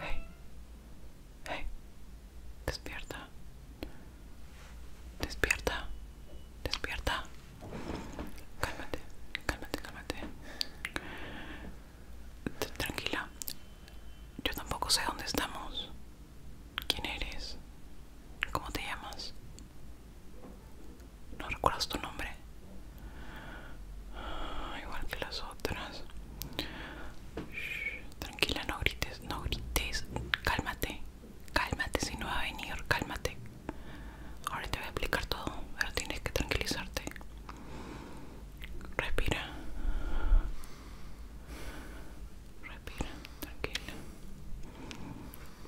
Hey, hey, despierta, despierta, despierta. Cálmate, cálmate, cálmate. Tranquila. Yo tampoco sé dónde estamos. ¿Quién eres? ¿Cómo te llamas? ¿No recuerdas tu nombre? Ah, igual que las otras. tranquila, no grites, no grites. Cálmate. Cálmate si no va a venir, cálmate. Ahora te voy a explicar todo, pero tienes que tranquilizarte. Respira. Respira, tranquila.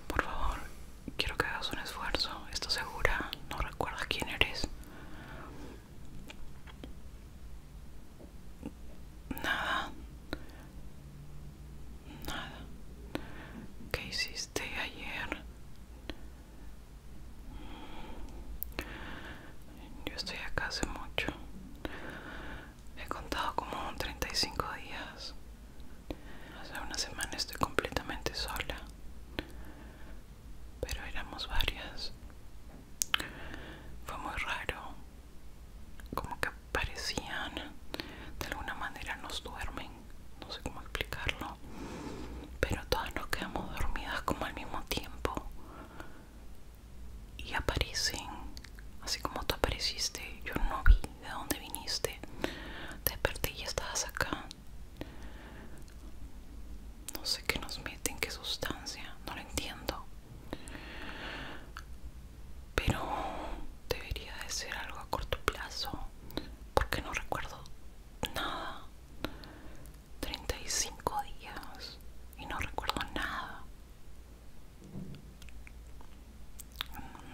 Por favor, quiero que hagas un esfuerzo. ¿Estás segura? ¿No recuerdas quién eres? Nada. Nada. ¿Qué hiciste ayer? Yo estoy acá hace mucho. He contado como 35 días. Hace una semana estoy completamente sola. Pero éramos varias. Fue muy raro. Como que parecían. De alguna manera nos duermen. No sé cómo explicarlo pero todas nos quedamos dormidas como al mismo tiempo y aparecen así como tú apareciste yo no vi de dónde viniste te desperté y estabas acá no sé qué nos meten qué sustancia no lo entiendo pero debería de ser algo a corto plazo porque no recuerdo nada 35 días y no recuerdo nada.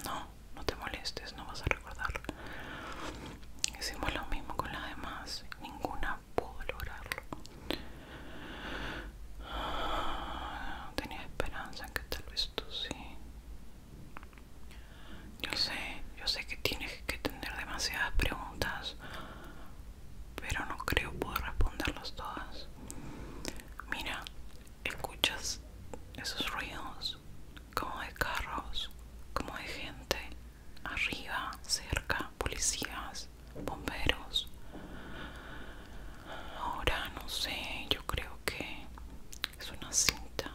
No, no te molestes, no vas a recordar. Hicimos lo mismo con las demás, ninguna pudo lograrlo. Tenía esperanza en que tal vez tú sí. Yo sé, yo sé que tienes que tener demasiadas preguntas pero no creo poder responderlas todas. Mira, escuchas esos ruidos como de carros, como de gente, arriba, cerca, policías, bomberos. Ahora no sé, yo creo que es una cinta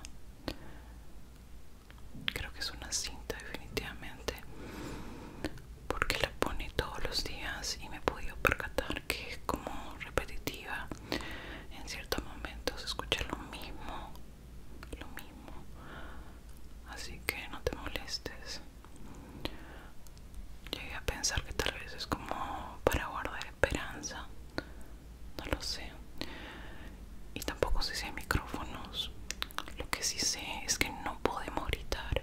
creo que es una cinta definitivamente porque la pone todos los días y me he podido percatar que es como repetitiva en ciertos momentos escucha lo mismo lo mismo así que no te molestes llegué a pensar que tal vez es como para guardar esperanza no lo sé y tampoco sé si micrófonos. Lo que sí sé es que no podemos gritar.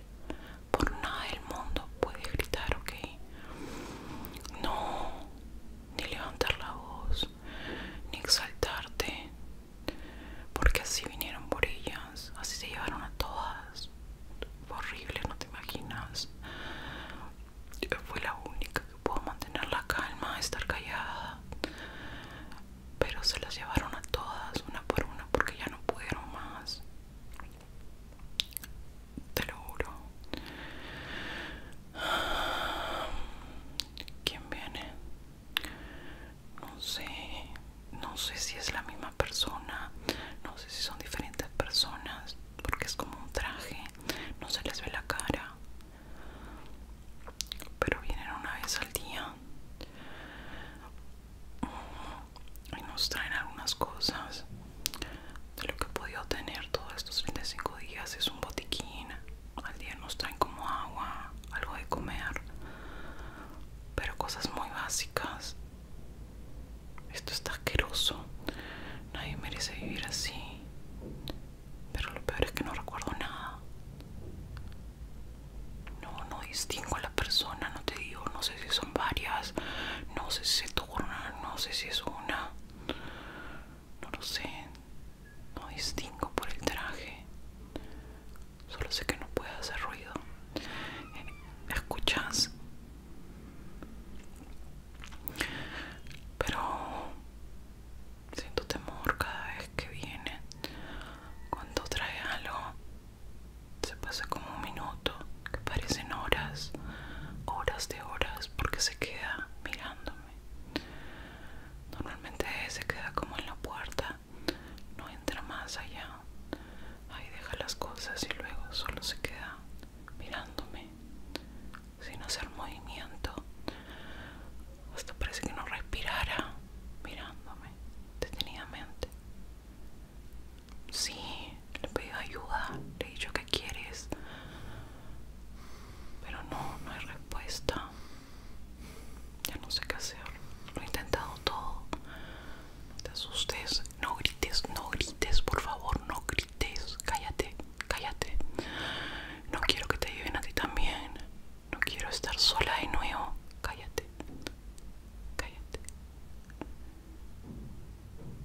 Por nada del mundo puedes gritar, ¿ok? No, ni levantar la voz, ni exaltarte. Porque así vinieron por ellas, así se llevaron a todas. horrible, no te imaginas. yo Fue la única que pudo mantener la calma, estar callada pero se las llevaron a todas una por una porque ya no pudieron más te lo juro quién viene no sé no sé si es la misma persona no sé si son diferentes personas porque es como un traje no se les ve la cara pero vienen una vez al día y nos traen algunas cosas de lo que he podido tener todos estos 35 días es un botiquín al día nos traen como agua algo de comer pero cosas muy básicas esto está asqueroso nadie merece vivir así pero lo peor es que no recuerdo nada no, no distingo a la persona, no te digo, no sé si son varias, no sé si se corona, no sé si es una. No lo sé, no distingo por el traje. Solo sé que no puede hacer ruido. ¿Escuchas? Pero siento temor cada vez que viene cuando trae algo se pasa como un minuto que parecen horas horas de horas porque se queda mirándome normalmente se queda como en la puerta no entra más allá ahí deja las cosas y luego solo se queda mirándome sin hacer movimiento hasta parece que no respirara mirándome detenidamente. Sí, le pedí ayuda, le he dicho que quieres, pero no, no hay respuesta. Ya no sé qué hacer, lo he intentado todo. te asustes, no grites, no grites, por favor, no grites, cállate, cállate. No quiero que te lleven a ti también. No quiero estar sola de nuevo. Cállate. Cállate.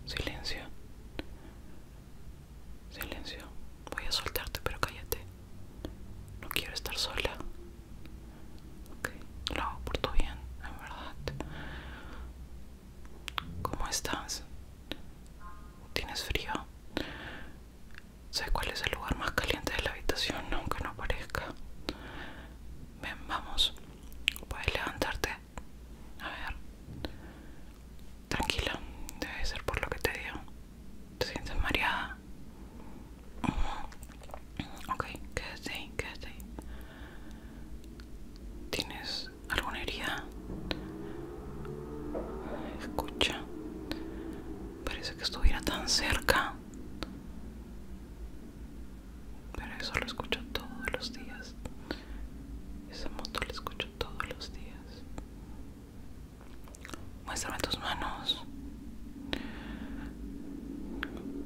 Silencio. Silencio. Voy a soltarte, pero cállate. No quiero estar sola. Lo hago por tu bien, en verdad. ¿Cómo estás? ¿Tienes frío? ¿Sabes cuál es el lugar más caliente de la habitación? Aunque no parezca. Ven, vamos. Puedes levantarte. A ver. Tranquila. Debe ser por lo que te digo. ¿Te sientes mareada? Mm. Ok, quédate ahí, quédate ahí. ¿Tienes alguna herida? Escucha. Parece que estuviera tan cerca. Pero eso lo escucho todos los días. Esa moto la escucho todos los días. Muéstrame tus manos.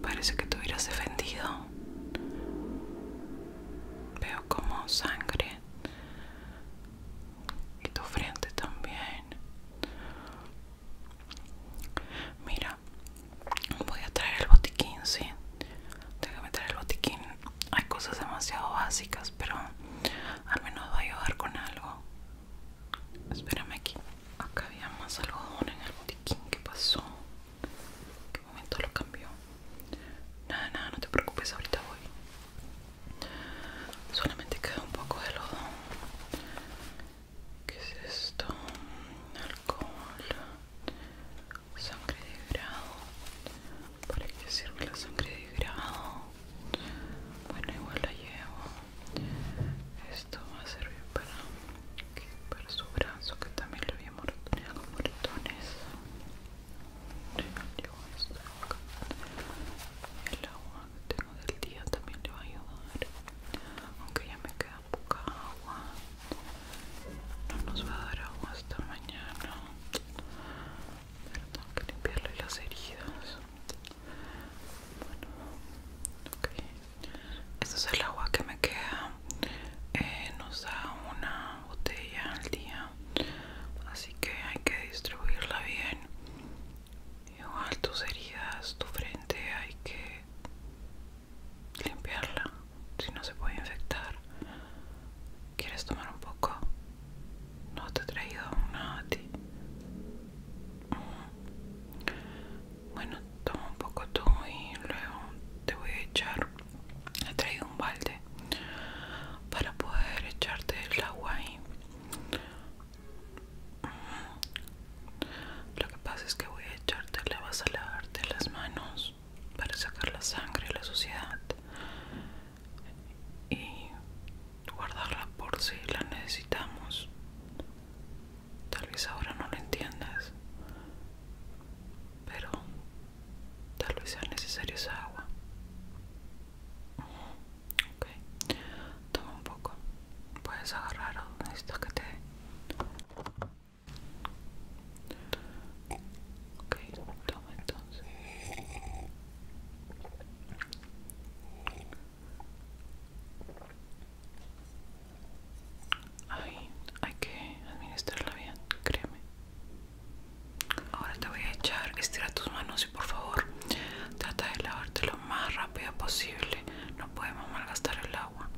Parece que te hubieras defendido. Veo como sangre. Y tu frente también. Mira, voy a traer el botiquín, sí. Déjame meter el botiquín. Hay cosas demasiado básicas, pero al menos va a ayudar con algo. Espérame aquí. Acá había más algodón en el botiquín. ¿Qué pasó? qué momento lo cambió? Nada, nada, no te preocupes, ahorita voy. Solamente queda un poco de algodón. ¿Qué es esto? Alcohol, sangre de grado. ¿Para qué sirve la sangre de grado? Bueno, igual la llevo. Esto va a servir para, para su brazo, que también lo había mordido con Llevo esto El agua que tengo del día también le va a ayudar aunque ya me queda poca agua no nos va a dar agua hasta mañana pero tengo que limpiarle las heridas bueno ok este es el agua que me queda eh, nos da una botella al día así que hay que distribuirla bien igual tus heridas, tu frente hay que limpiarla, si no se puede infectar. ¿Quieres tomar un poco? No te he traído nada a ti. Bueno, toma un poco tú y luego te voy a echar. He traído un balde para poder echarte el agua ahí lo que pasa es que voy a echarte, le vas a lavarte las manos para sacar la sangre y la suciedad y guardarla por si la necesitamos. Tal vez ahora no lo entiendas, pero tal vez sea necesario esa agua. Toma un poco. Puedes agarrar o necesitas que te dé. Ok, toma entonces. Ahí hay que administrarla bien, créeme. Ahora te voy a echar, estira tus manos y por favor trata de lavarte lo más rápido posible no podemos malgastar el agua.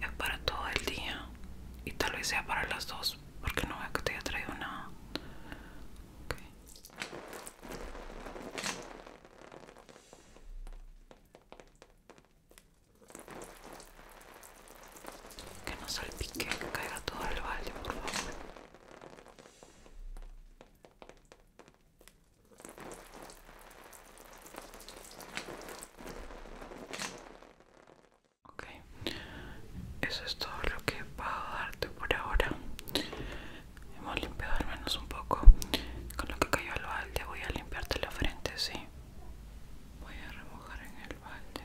Es para todo el día y tal vez sea para las dos, porque no veo que te haya traído nada. Que no salpique, que caiga todo el valle, por favor. Ok, eso es todo lo que puedo darte por ahora. Hemos limpiado al menos un poco. Con lo que cayó al balde voy a limpiarte la frente, sí. Voy a remojar en el balde.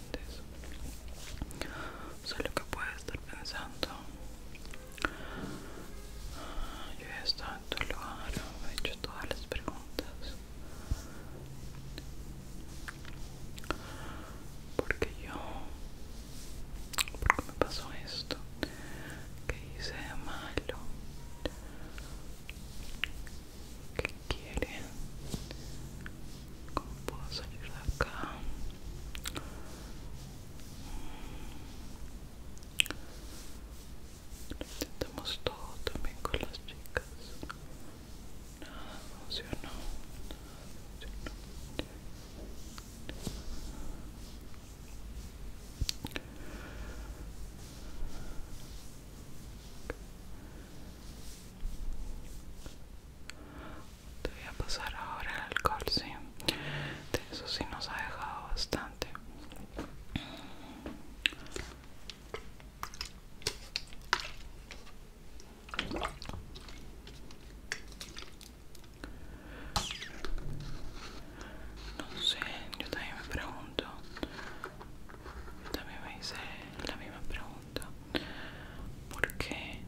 solo lo que puede estar pensando. Ah, yo he estado en tu lugar, he hecho todas las preguntas. Porque yo, porque me pasó esto, que hice de malo, ¿Qué quiere, ¿Cómo puedo salir de acá? Lo intentamos todo también con las chicas. Nada te voy a pasar ahora el alcohol, sí. De eso sí nos ha dejado bastante. No sé, yo también me pregunto. Yo también me hice la misma pregunta. Porque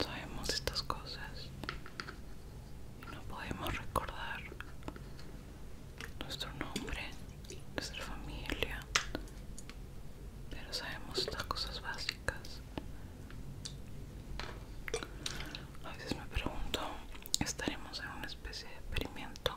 sabemos estas cosas y no podemos recordar nuestro nombre, nuestra familia? Pero sabemos estas cosas básicas. A veces me pregunto, ¿estaremos en una especie de experimento?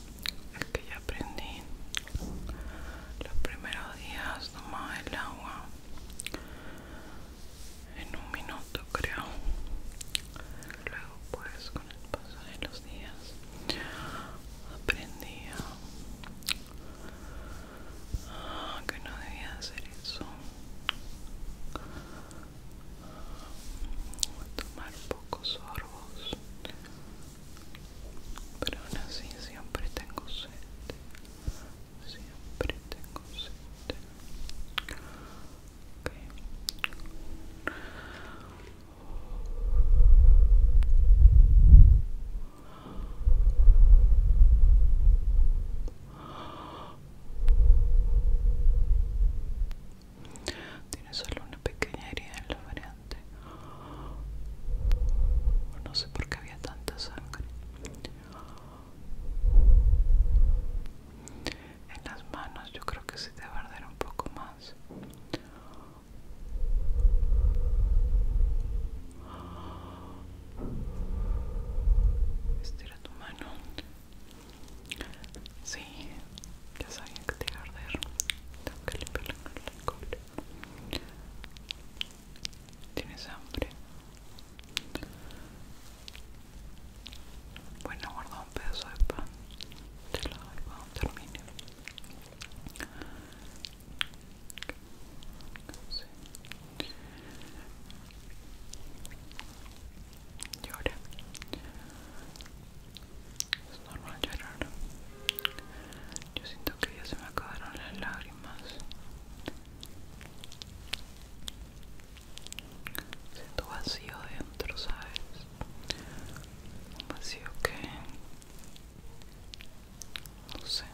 el que ya aprendí los primeros días tomaba el agua en un minuto creo luego pues con el paso de los días aprendí a que no debía hacer eso tomar pocos sorbos pero aún así siempre tengo sed siempre tengo sed tiene solo una pequeña herida en la variedad. No sé por qué había tanta sangre. En las manos yo creo que sí a arder un poco más. Estira tu mano. Sí, ya sabía que te iba a arder. Tengo que limpiar el cola. ¿Tienes hambre? Bueno, guarda un pedazo de pan. Te lo doy cuando termine. Y Llora normal llorar yo siento que ya se me acabaron las lágrimas siento vacío dentro sabes un vacío que no sé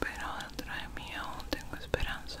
pero dentro de mí aún tengo esperanza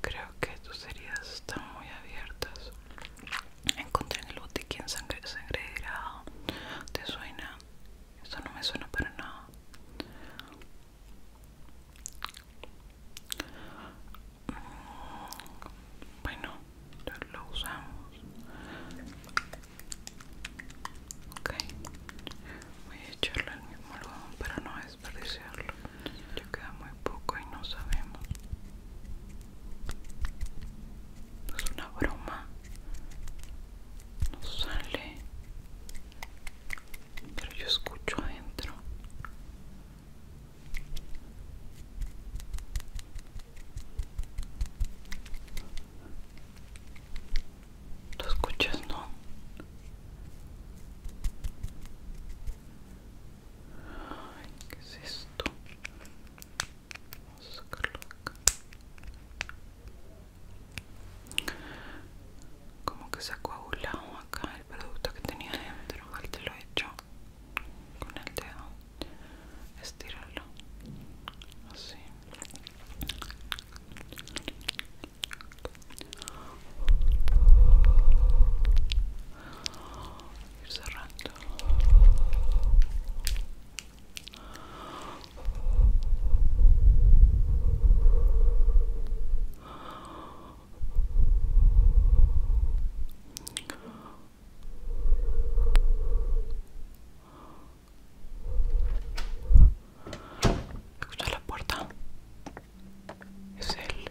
Creo que tus heridas están muy abiertas. Encontré en el botiquín sangre grado ¿Te suena? Esto no me suena para nada. Mm, bueno, lo, usamos. Ok, voy a echarlo al mismo lugar pero no es desperdiciarlo. Ya queda muy poco y no sabemos. Es una broma. No sale. Pero yo escucho adentro. ¿Lo escuchas, no? Ay, ¿qué es esto? Vamos a sacarlo acá. Como que se ha coagulado acá el producto que tenía dentro. te lo he hecho con el dedo. estirarlo Así cerrando escucha la puerta es él